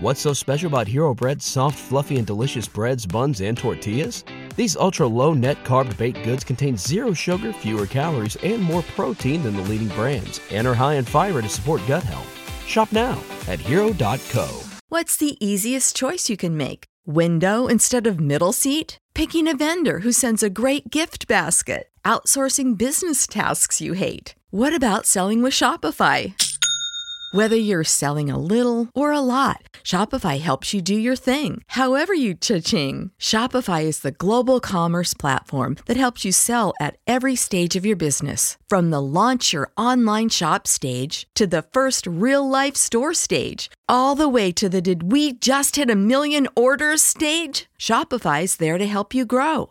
What's so special about Hero Bread's soft, fluffy, and delicious breads, buns, and tortillas? These ultra low net carb baked goods contain zero sugar, fewer calories, and more protein than the leading brands, and are high in fiber to support gut health. Shop now at hero.co. What's the easiest choice you can make? Window instead of middle seat? Picking a vendor who sends a great gift basket? Outsourcing business tasks you hate? What about selling with Shopify? Whether you're selling a little or a lot, Shopify helps you do your thing, however you cha-ching. Shopify is the global commerce platform that helps you sell at every stage of your business. From the launch your online shop stage to the first real life store stage, all the way to the did we just hit a million orders stage? Shopify's there to help you grow.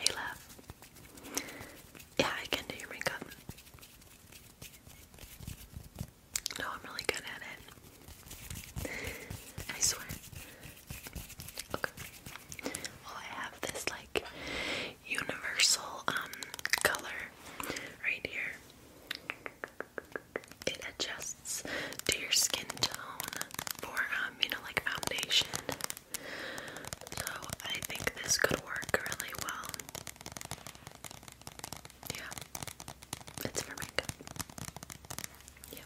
Hey, love. Yeah, I can do your makeup. No, I'm really good at it. I swear. Okay. Well, I have this like universal um color right here. It adjusts to your skin tone for um, you know, like foundation so I think this could work really well. Yeah, it's for makeup. Yeah.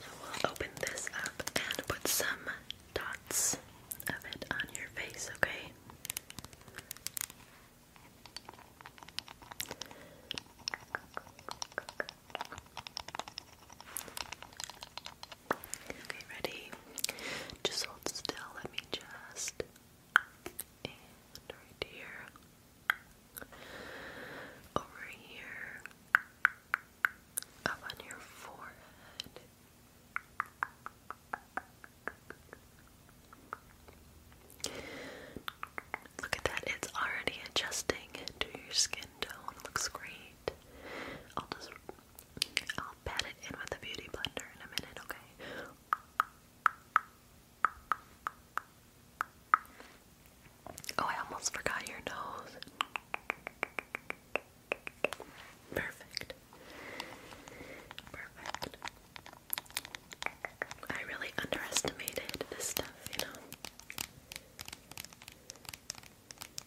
So we'll open this up and put some dots of it on your face, okay? Okay, ready? Just hold still. Let me just. And right here. Over here. Up on your forehead. Look at that, it's already adjusting to your skin tone. Looks great. I'll just I'll pat it in with a beauty blender in a minute, okay? Oh, I almost forgot your nose. Perfect. Perfect. I really underestimated this stuff, you know.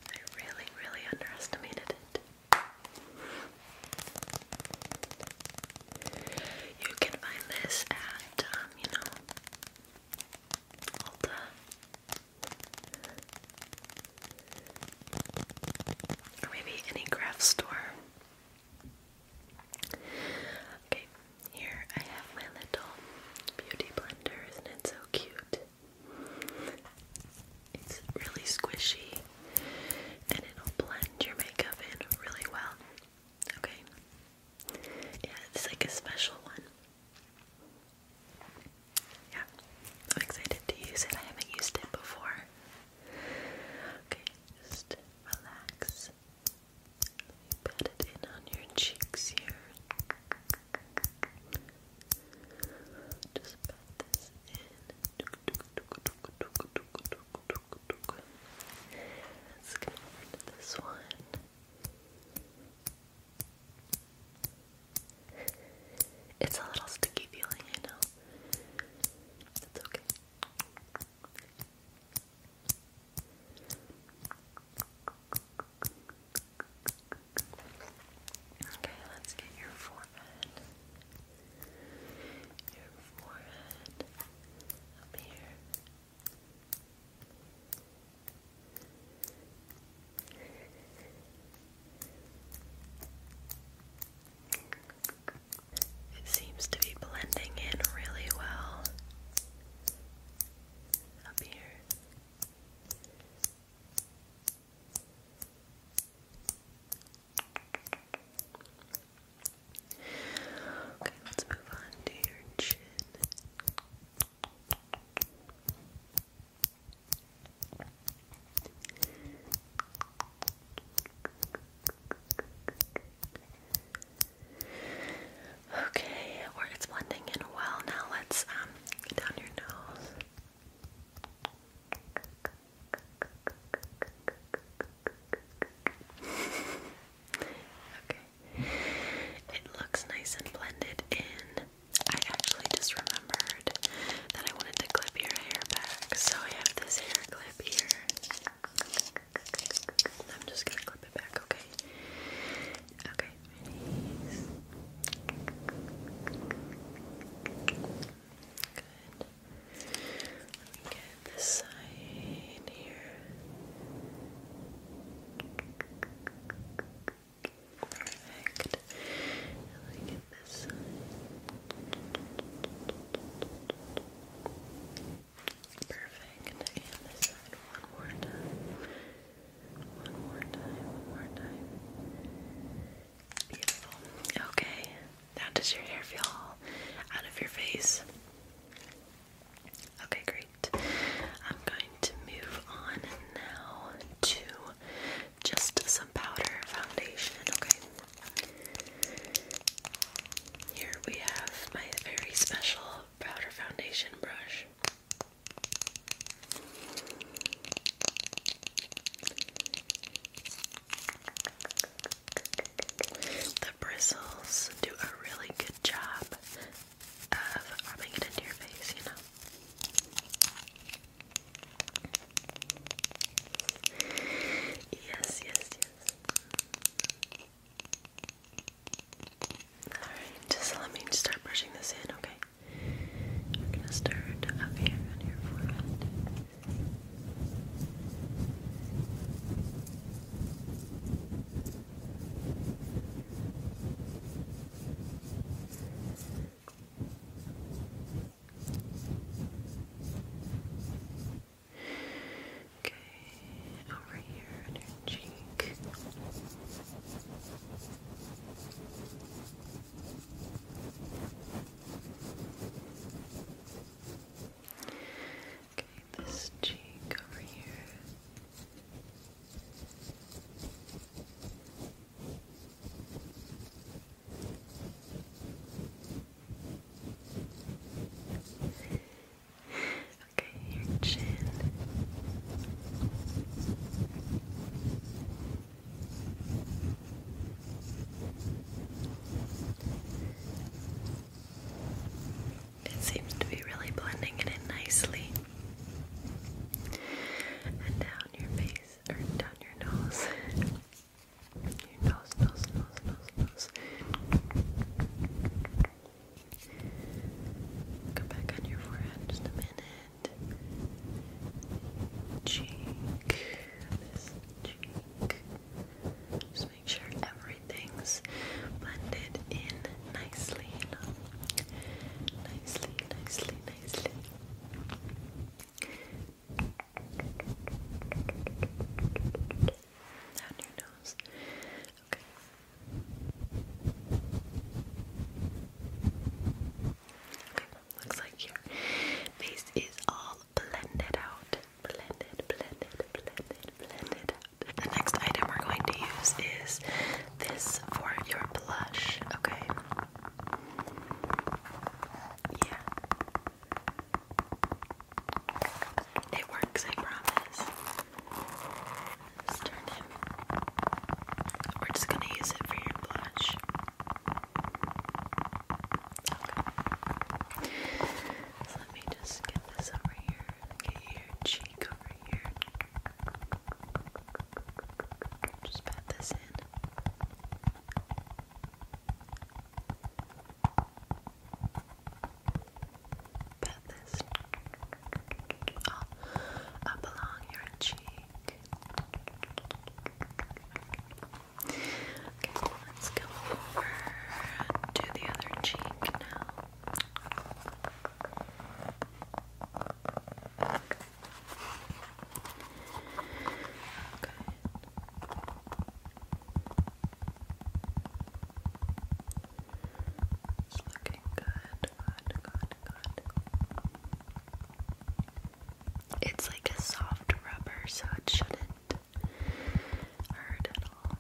I really, really underestimated it. You can find this at, um, you know, Ulta. Or maybe any craft store. Okay, here I have my little beauty blender. Isn't it so cute? It's really squishy and it'll blend your makeup in really well. Okay? Yeah, it's like a special one. Yeah, I'm excited to use it. I haven't used it before. Okay, just relax. Pat it in on your cheeks here. Just put this in. Let's get over this one. It's a little sticky feeling, I know. It's okay. Okay, let's get your forehead. Your forehead up here. It seems to be blending in really well up here. Okay, let's move on to your chin. Okay, where it's blending in well. Now let's um, get down your nose. okay. It looks nice and blended in. I actually just remembered that I wanted to clip your hair back, so I have this hair clip here. I'm just gonna clip it back, okay? Okay, face. Good. Let me get this side here. Perfect. let me get this side. Perfect. And this side one more time. One more time, one more time. Beautiful. Okay. Now does your hair feel out of your face? Okay, great. I'm going to move on now to just some powder foundation, okay? Here we have my very special powder foundation brush. The bristles do a really good job of rubbing it into your face, you know. Yes, yes, yes. Alright, just let me start brushing this in, okay? We're gonna start up here on your forehead. Okay, over here cheek. Okay, this cheek over here your chin. It seems to be really blending it in nicely. And down your face, or down your nose. your nose, nose, nose, nose, nose. Come back on your forehead just a minute. Cheek. This cheek. Just make sure everything's blended in nicely, Nicely, nicely, nicely. Down your nose. Okay. Okay, looks like your face is all blended out. Blended, blended, blended, blended out. The next item we're going to use is this for your blush, okay? Yeah. It works, I promise sternum. We're just gonna use it for your blush. Okay. let me just get this over here. Get your cheek over here. Just pat this in up along your cheek. Okay, let's go over to the other cheek now. It's looking good. It's like a soft rubber, so it shouldn't hurt at all.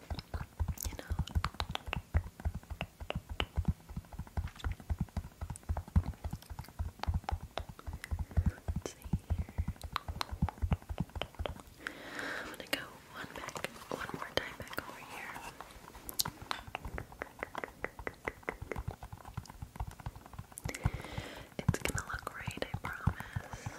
You know. Let's see here. I'm gonna go one back, one more time back over here. It's gonna look great, I promise.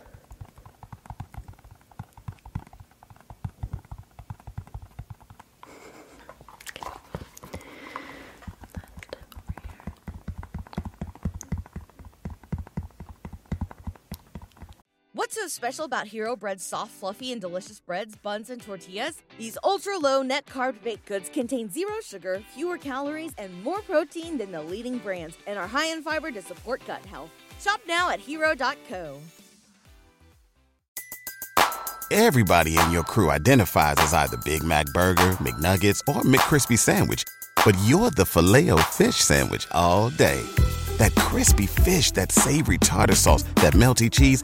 What's so special about Hero Bread's soft, fluffy, and delicious breads, buns, and tortillas? these ultra low net carb baked goods contain zero sugar, fewer calories, and more protein than the leading brands, and are high in fiber to support gut health. Shop now at hero.co. Everybody in your crew identifies as either Big Mac Burger, McNuggets, or McKrispy Sandwich, but you're the filet fish Sandwich all day. That crispy fish, that savory tartar sauce, that melty cheese,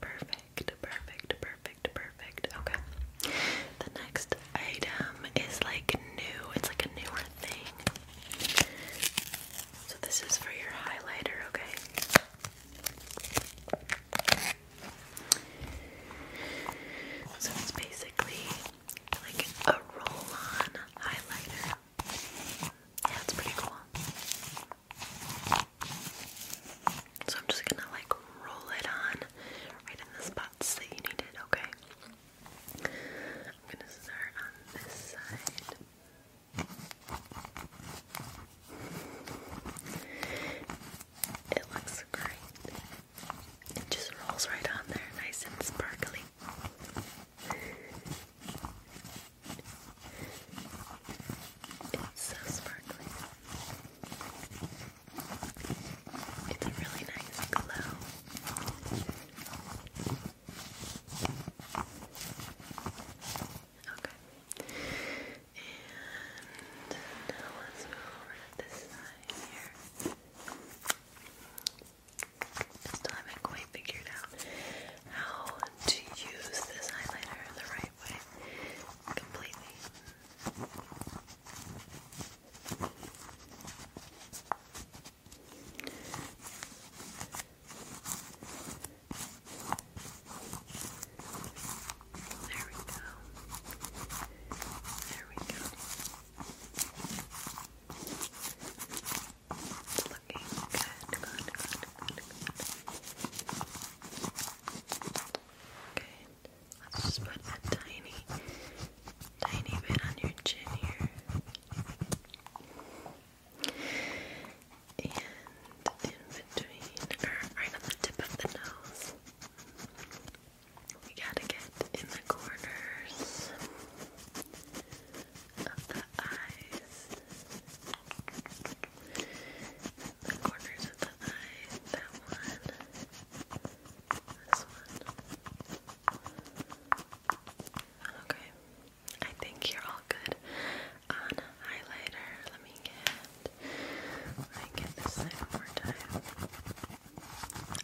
Perfect, perfect, perfect, perfect. Okay. The next item is like new. It's like a newer thing. So this is for your highlighter, okay? So it's basically like a roll-on highlighter. Yeah, it's pretty cool. So I'm just gonna like roll it on right in the spots that you need it, okay? I'm gonna start on this side. It looks great. It just rolls right on there, nice and sparkly. It's so sparkly. It's a really nice glow. Okay. And let's go over to this side here. still haven't quite figured out how to use this highlighter the right away completely. There we go. There we go. It's looking good, good, good, good. Okay, let's just put a tiny, tiny bit on your chin here. And in between, or right on the tip of the nose. We gotta get in the corners of the eyes. The corners of the eye, that one, this one. Okay, I think you're all good on highlighter. Let me get, let me get this thing one more time.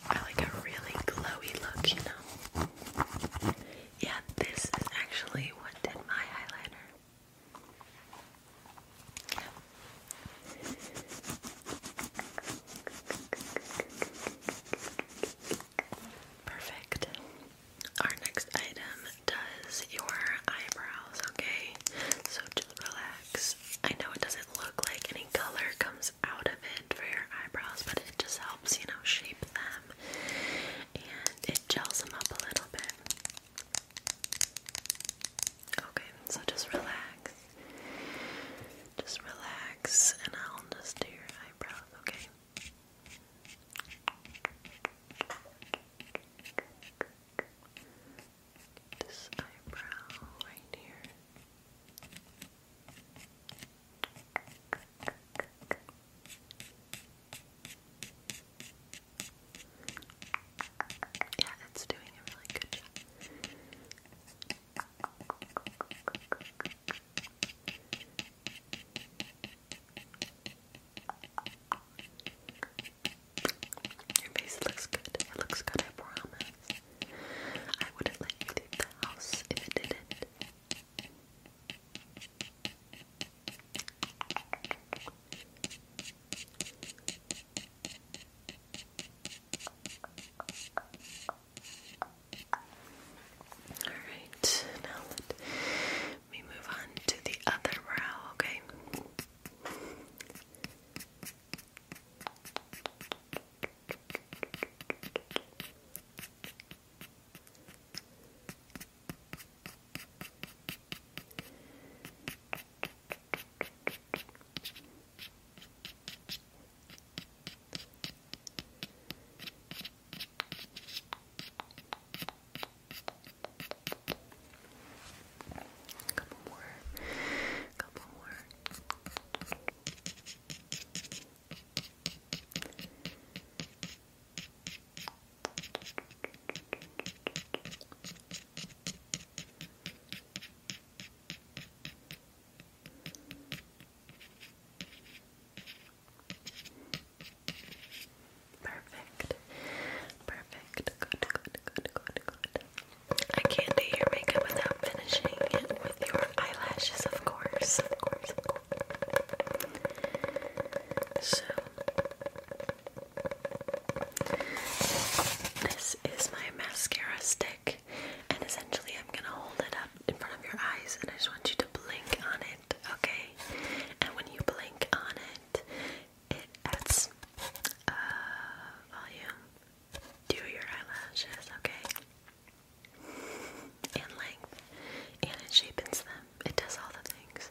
I like a really glowy look, you know. Yeah, this is actually what did my highlighter. Perfect. Our next item does your eyebrows, okay? So just relax. I know it doesn't look like any color comes out of it for your eyebrows, but it just helps, you know, shape them and it gels them up a little bit. Okay, so just relax. Just relax, and I'll just do your eyebrows, okay? This eyebrow right here. Yeah, it's doing a really good job. Your face looks good. It looks good, I promise. I wouldn't let you leave the house if it didn't. All right, now let me move on to the other brow, okay? A couple more, a couple more. Perfect. Perfect. Good, good, good, good, good. I can't do your makeup without finishing it with your eyelashes, of course. So this is my mascara stick, and essentially, I'm gonna hold it up in front of your eyes, and I just want you to blink on it, okay? And when you blink on it, it adds uh, volume to your eyelashes, okay? And length, and it shapes them. It does all the things.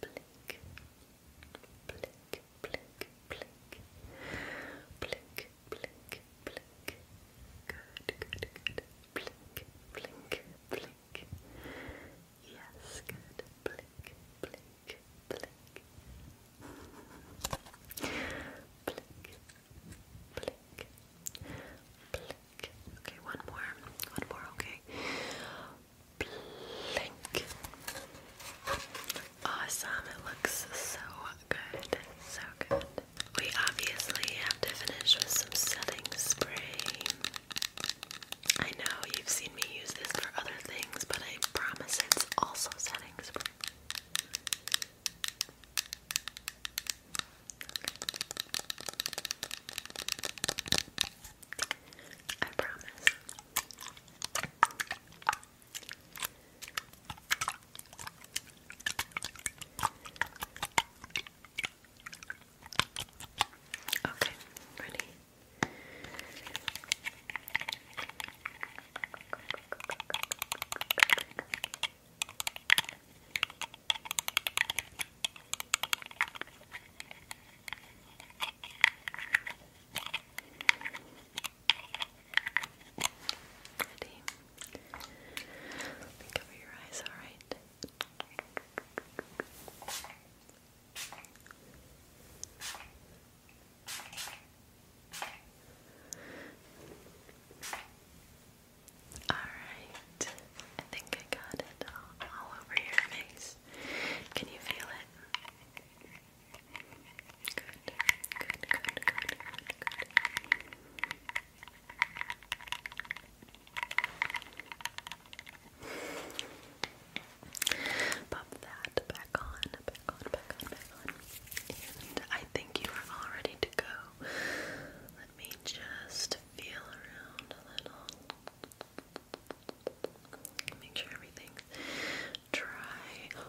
blink, blink, blink, blink, blink, blink, blink. Good, good, good. Blink, blink, blink. Yes, good. Blink, blink, blink. blink, blink, blink. Okay, one more, one more. Okay. Blink. Awesome, it looks so good. So good. We obviously have to finish with some setting spray. I know you've seen me use this for other things, but I promise it's also setting spray. I promise. Okay, ready? Okay. Ready? Think your eyes, alright? Alright, I think I got it all over your face face. Can you feel it? good, good, good, good, good. Pop that back on, back on, back on, back on. And I think you are all ready to go. Let me just feel around a little. Make sure everything's dry.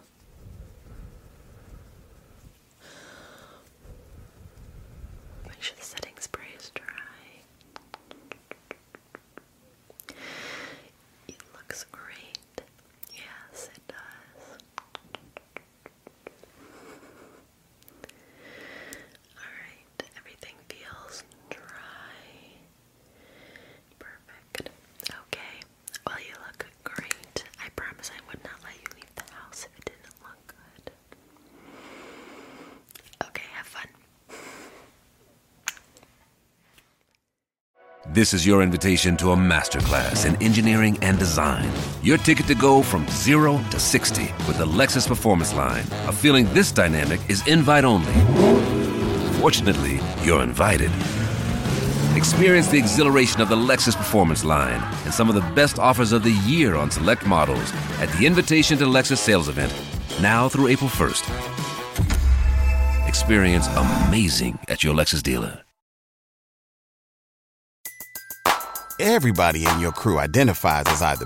Make sure the setting spray is dry. It looks great. Yes, it does. Alright, everything feels dry. Perfect. Okay. Well, you look great. I promise I would not let you leave the house if it didn't look good. Okay, have fun. This is your invitation to a masterclass in engineering and design. Your ticket to go from 0 to 60 with the Lexus Performance Line feeling this dynamic is invite only. Fortunately, you're invited. Experience the exhilaration of the Lexus Performance line and some of the best offers of the year on select models at the Invitation to Lexus sales event, now through April 1st. Experience amazing at your Lexus dealer. Everybody in your crew identifies as either